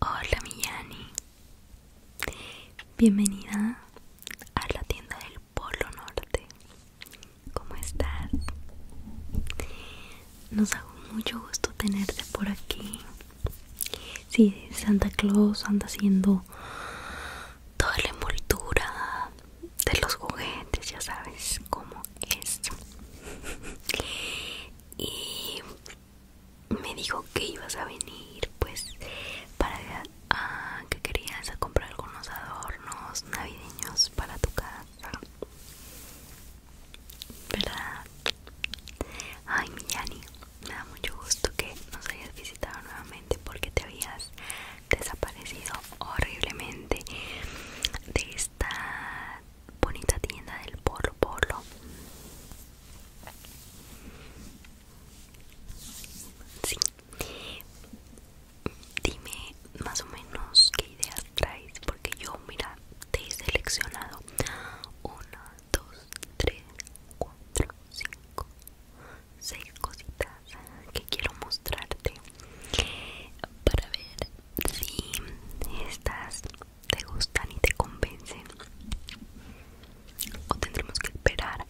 Hola mi Bienvenida a la tienda del Polo Norte. ¿Cómo estás? Nos hago mucho gusto tenerte por aquí. sí, Santa Claus anda haciendo toda la envoltura de los juguetes, ya sabes cómo es. y me dijo que ibas a venir pues para ah, que querías comprar algunos adornos navideños para tu casa verdad ay mi me da mucho gusto que nos hayas visitado nuevamente porque te habías desaparecido horriblemente de esta bonita tienda del Polo Polo. Sí. Dime más o menos qué ideas traes, porque yo, mira, te he seleccionado 1, 2, 3, 4, 5, 6 cositas que quiero mostrarte para ver si estas te gustan y te convencen o tendremos que esperar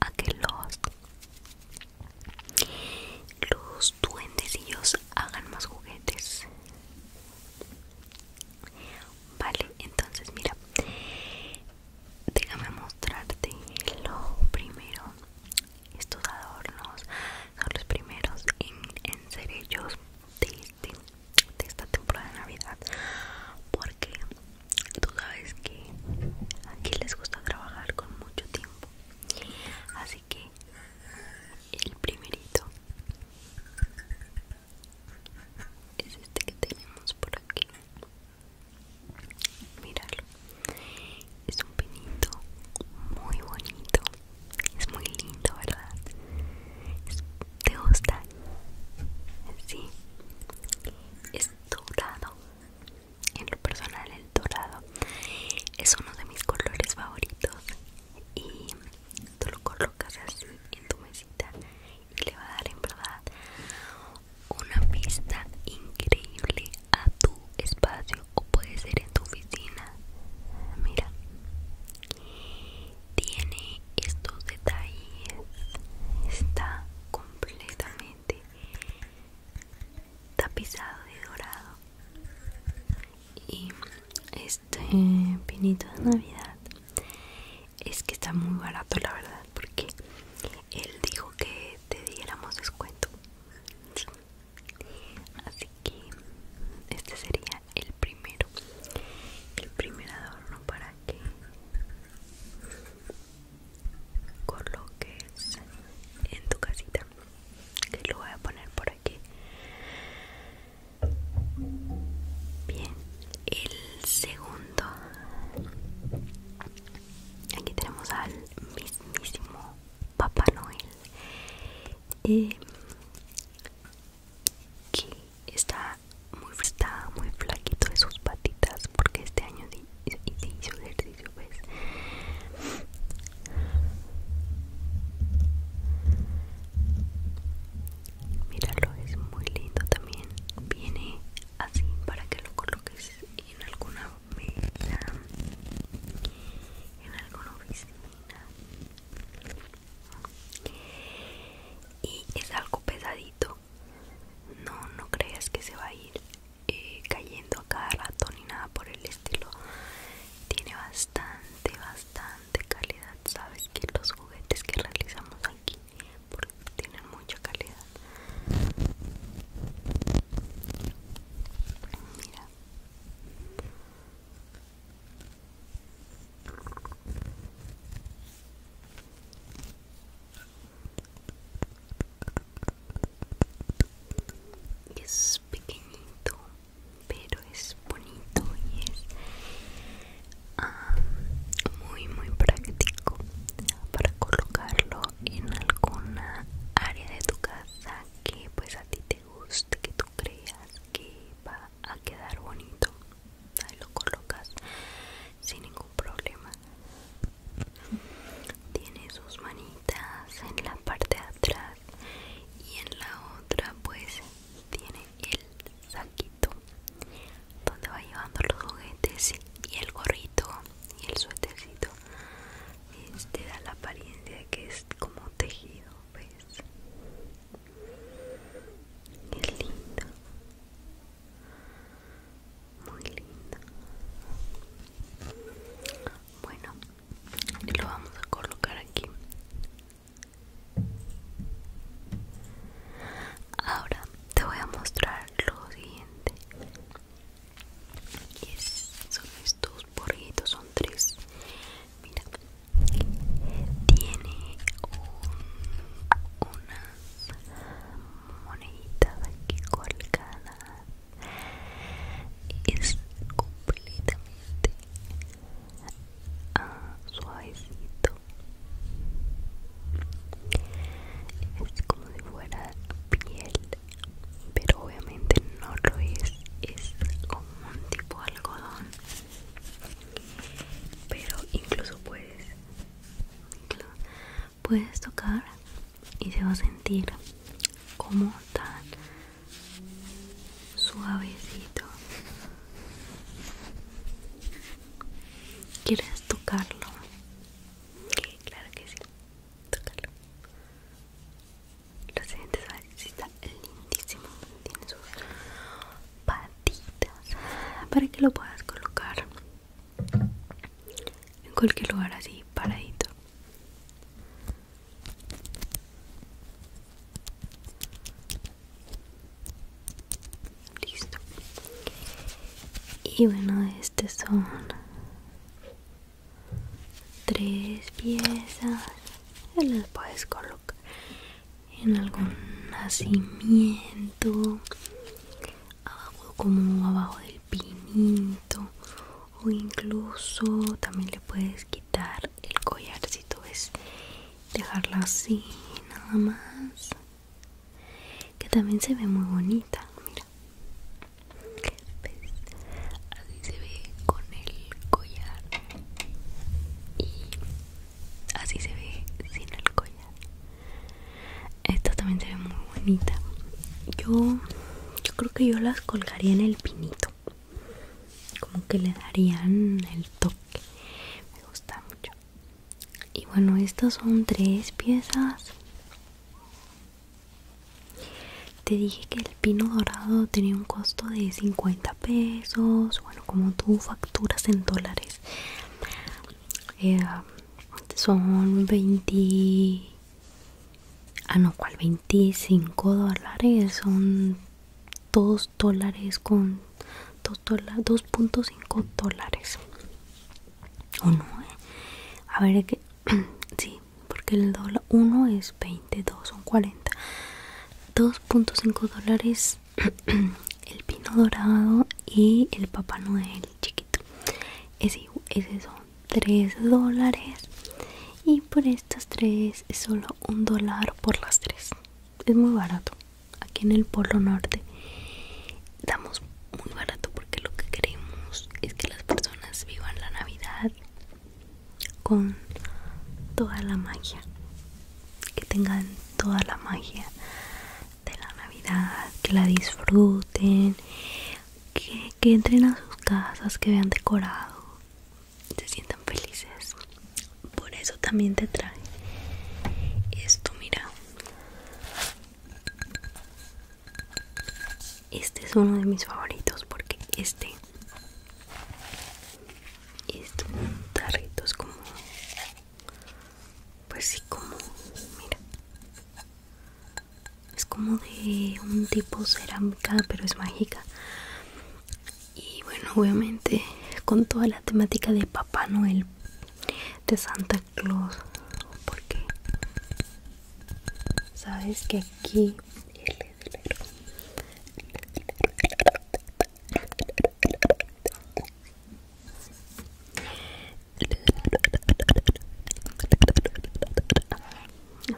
a que los los ellos hagan más juguetes vale entonces mira déjame mostrarte lo primero estos adornos son los primeros en, ser ellos de este de esta temporada de Navidad porque tú sabes que aquí les gusta trabajar con mucho tiempo así que el primerito es este que tenemos por aquí mirarlo es un pinito muy bonito es muy lindo, ¿verdad? ¿Te gusta? Sí. Es dorado. En lo personal, el dorado es uno de mis colores favoritos. Y tú lo colocas así en tu mesita y le va a dar en verdad una vista increíble a tu espacio o puede ser en tu oficina. Mira, tiene estos detalles está completamente tapizado de dorado y este pinito de navidad es que está muy barato la verdad porque él dijo que te diéramos descuento así que este sería el primero el primer adorno para que coloques en tu casita que lo voy a poner por aquí bien el segundo aquí tenemos al mismísimo papá noel eh, que está muy está muy flaquito de sus patitas porque este año sí, hizo ejercicio, ¿ves? Míralo, es muy lindo también. Viene así para que lo coloques en alguna mesa, en alguna oficina y es algo pesadito no no creas que se va a ir eh, cayendo a cada rato ni nada por el estilo tiene bastante bastante calidad sabes que los juguetes que realizamos aquí tienen mucha calidad mira es pequeñito, pero es bonito y es ah, muy muy práctico para colocarlo en alguna área de tu casa que pues a ti te guste, que tú creas que va a quedar bonito ahí lo colocas sin ningún problema tiene sus manitas en la parte de atrás y en la otra pues tiene el saquito donde va llevando los juguetes y el gorrito y el suetecito te este da la apariencia de que es como tejido ves pues. Es lindo, muy lindo. Bueno, lo vamos a colocar aquí. Ahora te voy a mostrar lo siguiente. son estos borritos, son tres Mira, tiene unas moneditas aquí colgadas. Es completamente ah, suavecito. Es como si fuera piel, pero obviamente no lo es. Es como un tipo de algodón pero incluso puedes puedes tocar y se va a sentir como tan suavecito quieres tocarlo claro que sí tocarlo lo siguiente es está lindísimo tiene su padre para que lo puedas colocar en cualquier lugar así paradito listo y bueno estas son tres piezas las puedes colocar en algún nacimiento abajo como abajo del pinito o incluso también le puedes quitar el collar si tú ves dejarla así nada más que también se ve muy bonita mira ¿Ves? así se ve con el collar y así se ve sin el collar esta también se ve muy bonita yo yo creo que yo las colgaría en el pinito como que le darían el toque me gusta mucho y bueno estas son tres piezas te dije que el pino dorado tenía un costo de 50 pesos bueno como tú facturas en dólares eh, son 20 ah no cual 25 dólares son 2 dólares con 2.5 dólares o no eh? a ver que sí porque el dólar 1 es 22 son 40 2.5 dólares el pino dorado y el papá noel chiquito ese, son 3 dólares y por estas tres es solo un dólar por las tres es muy barato aquí en el polo norte damos muy barato porque lo que queremos es que las personas vivan la navidad con toda la magia que tengan toda la magia de la Navidad, que la disfruten, que, entren a sus casas, que vean decorado, se sientan felices. Por eso también te trae esto, mira. Este es uno de mis favoritos porque este un tarrito es como pues sí como mira es como de un tipo cerámica pero es mágica y bueno obviamente con toda la temática de Papá Noel de Santa Claus porque sabes que aquí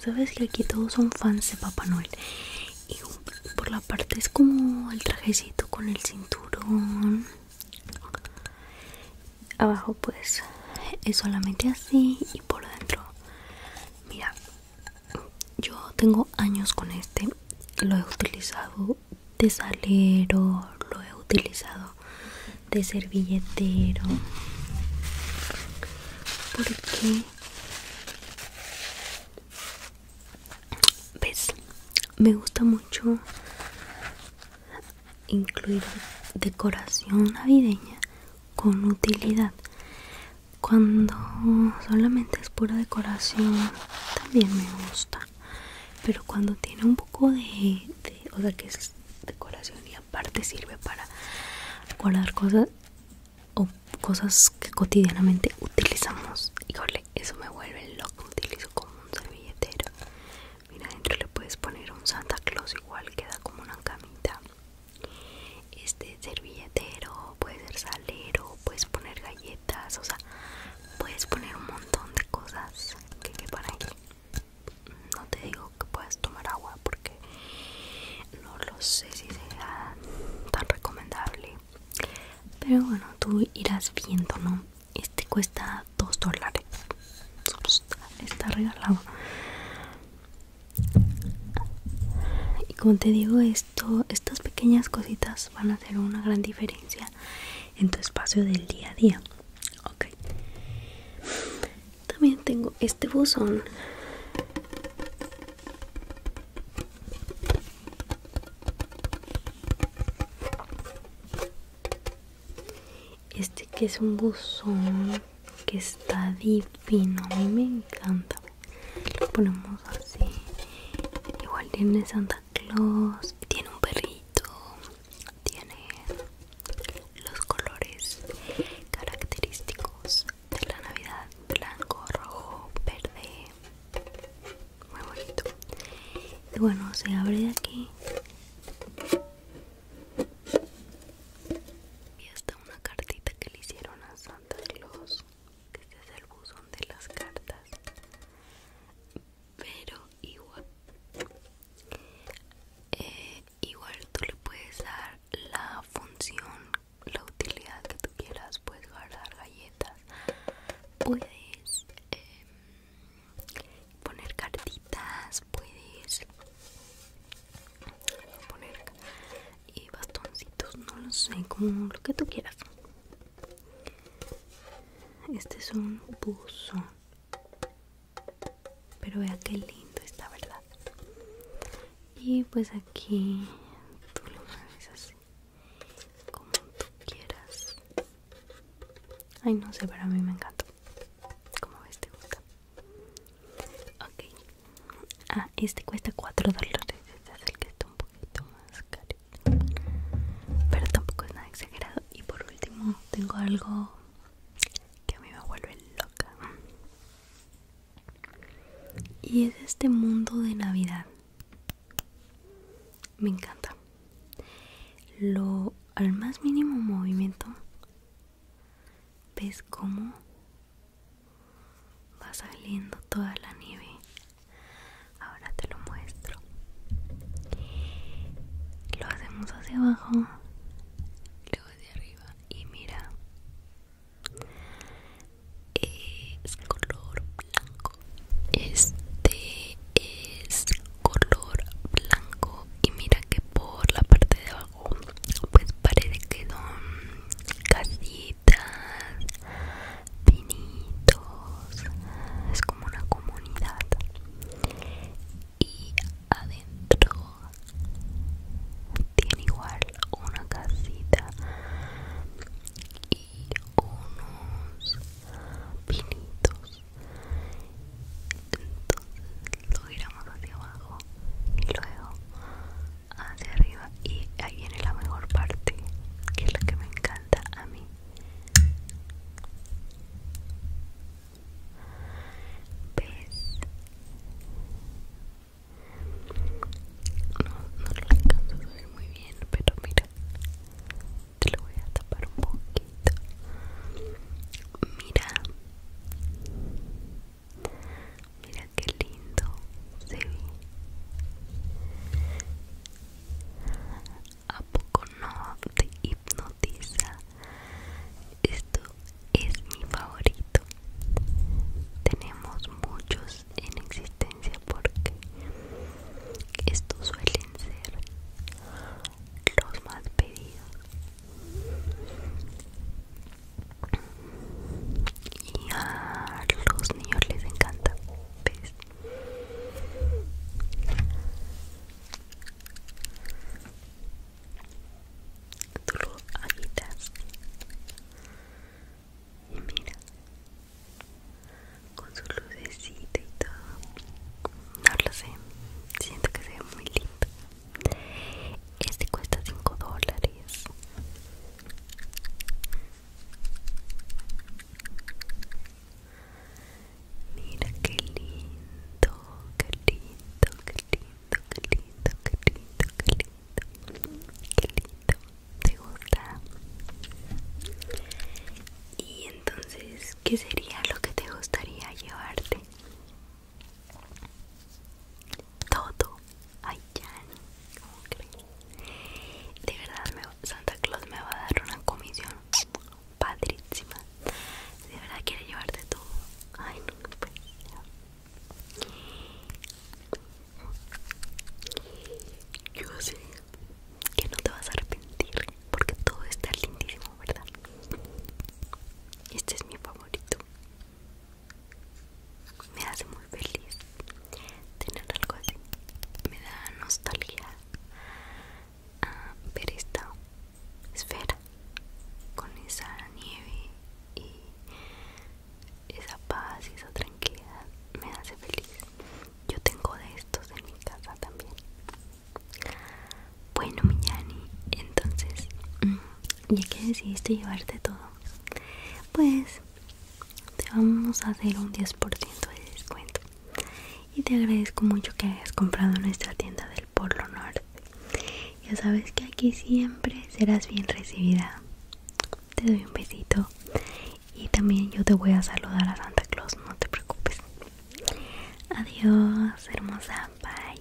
Sabes que aquí todos son fans de Papá Noel y por la parte es como el trajecito con el cinturón. Abajo pues es solamente así y por dentro. Mira, yo tengo años con este, lo he utilizado de salero, lo he utilizado de servilletero porque ves pues, me gusta mucho incluir decoración navideña con utilidad cuando solamente es pura decoración también me gusta pero cuando tiene un poco de, o sea que es decoración y aparte sirve para guardar cosas o cosas que cotidianamente utilizamos híjole eso me vuelve loco utilizo como un servilletero mira adentro le puedes poner un Santa Claus igual queda como una camita este servilletero puede ser salero puedes poner galletas o sea puedes poner un montón de cosas que quepan aquí no te digo que puedas tomar agua porque no lo sé si sea tan recomendable pero bueno tú irás viendo no este cuesta 2 dólares está regalado y como te digo esto estas pequeñas cositas van a hacer una gran diferencia en tu espacio del día a día. Ok. También tengo este buzón. Este que es un buzón que está divino, a mí me encanta. Lo ponemos así. Igual tiene Santa Claus, tiene un perrito, tiene los colores característicos de la Navidad, blanco, rojo, verde, muy bonito. Y bueno, se abre de aquí y hasta una cartita que le hicieron a Santa Claus. Este es el buzón de las cartas pero igual eh, igual tú le puedes dar la función la utilidad que tú quieras puedes guardar galletas puedes em, poner cartitas puedes poner y bastoncitos no lo sé como lo que tú quieras este es un buzón. Pero vea qué lindo está, ¿verdad? Y pues aquí tú lo mueves así. Como tú quieras. Ay, no sé, pero a mí me encanta. Como ves, te gusta. Ok. Ah, este cuesta 4 dólares. Este es el que está un poquito más caro pero tampoco es nada exagerado y por último tengo algo que a mí me vuelve loca y es este mundo de navidad me encanta lo al más mínimo movimiento ves cómo va saliendo toda la nieve ahora te lo muestro lo hacemos hacia abajo luego hacia arriba y mira es color blanco este es color blanco y mira que por la parte de abajo pues parece que son casitas pinitos es como una comunidad y adentro tiene igual una casita y unos pinitos entonces lo giramos hacia abajo y luego hacia arriba y ahí viene la mejor parte que es la que me encanta a mí no, no lo alcanzo a ver muy bien, pero mira, te lo voy a tapar un poquito. Mira, mira qué lindo se ve. ¿A poco no te hipnotiza? Esto es mi favorito. Tenemos muchos en existencia porque estos suelen ser los más pedidos. Y a los niños les encanta. Tú lo agitas y mira, con su lucecita y todo. No lo sé, siento que se ve muy lindo. Este cuesta 5 dólares. Mira qué lindo, qué lindo, qué lindo, qué lindo, qué lindo, qué lindo, qué lindo. ¿Te gusta? Y entonces, ¿qué sería lo que te gustaría llevarte? Todo. Ay, ya De verdad, Santa Claus me va a dar una comisión padrísima. De verdad quiere llevarte todo. Ay, no, pues. Yo sé que no te vas a arrepentir porque todo está lindísimo, ¿verdad? Este es mi favorito. Me hace muy feliz tener algo así. Me da nostalgia a ver esta esfera con esa nieve y esa paz y esa tranquilidad me hace feliz. Yo tengo de estos en mi casa también. Bueno, mi Yani, entonces, mm, ya que decidiste llevarte todo, pues te vamos a hacer un 10% de descuento y te agradezco mucho que hayas comprado nuestra tienda del Polo Norte. Ya sabes que aquí siempre serás bien recibida. Te doy un besito y también yo te voy a saludar a Santa Claus, no te preocupes. Adiós, hermosa, bye.